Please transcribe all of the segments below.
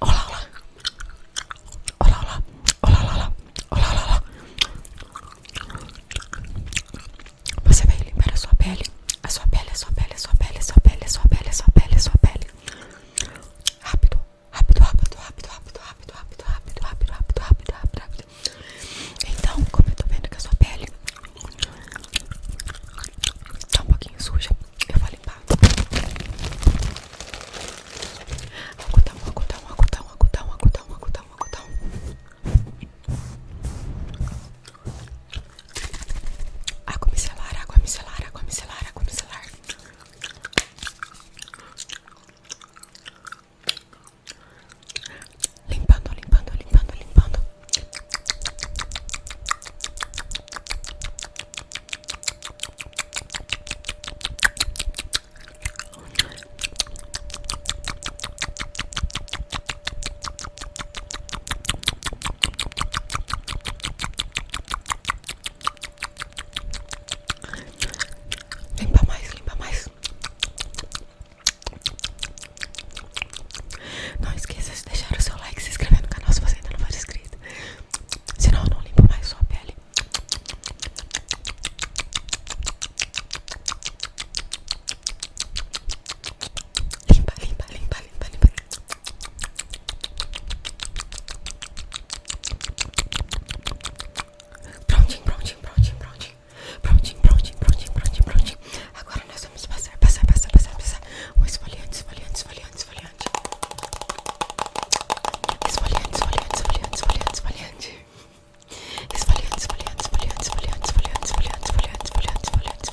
Olá, olá. Olá, olá. Olá, olá, olá. Olá, olá, olá. Você vai limpar a sua pele. A sua pele, a sua pele, a sua pele, a sua pele, a sua pele, a sua pele, a sua pele. Rápido, rápido, rápido, rápido, rápido, rápido, rápido, rápido, rápido, rápido, rápido, rápido, rápido. Então, como eu tô vendo que a sua pele tá um pouquinho suja, eu vou limpar Agudão, agudão, agudão, agudão, agudão, agudão, agudão. Água micelar, água micelar, água micelar, água micelar. Limpando, limpando, limpando, limpando. Limpa mais, limpa mais. Não esqueça de deixar o seu like e se inscrever no canal se você ainda não for inscrito. Senão eu não limpo mais sua pele. Limpa, limpa, limpa, limpa, limpa. Prontinho, prontinho, prontinho, prontinho. Prontinho, prontinho, prontinho, prontinho, prontinho. Agora nós vamos passar, passar, passar, passar, passar um esfoliante, esfoliante, esfoliante, esfoliante. Esfoliante, esfoliante, esfoliante, esfoliante, esfoliante. Esfoliante, esfoliante, esfoliante, esfoliante, esfoliante, esfoliante, esfoliante, esfoliante, esfoliante, esfoliante.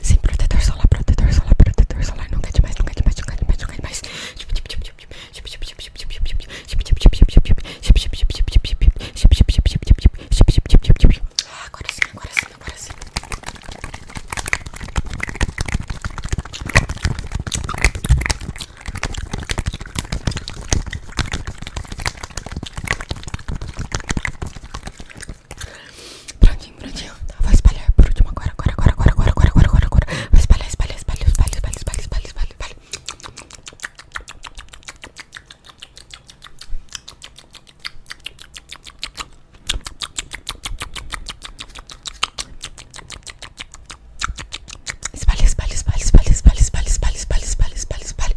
Sim, protetor solar, protetor solar, protetor solar. Não cante mais, não cante mais, não cante mais, não cante mais. Ah, agora sim, agora sim, agora sim. Prontinho, prontinho. vai espalhar por último agora, agora, agora, agora, agora, agora, agora, agora, agora. Vou espalhar, espalhar, espalhar, espalhar, espalhar, espalhar, espalhar, espalhar, espalhar. Espalha, espalha, espalha, espalha, espalha, espalha, espalha, espalha, espalha, espalha, espalha.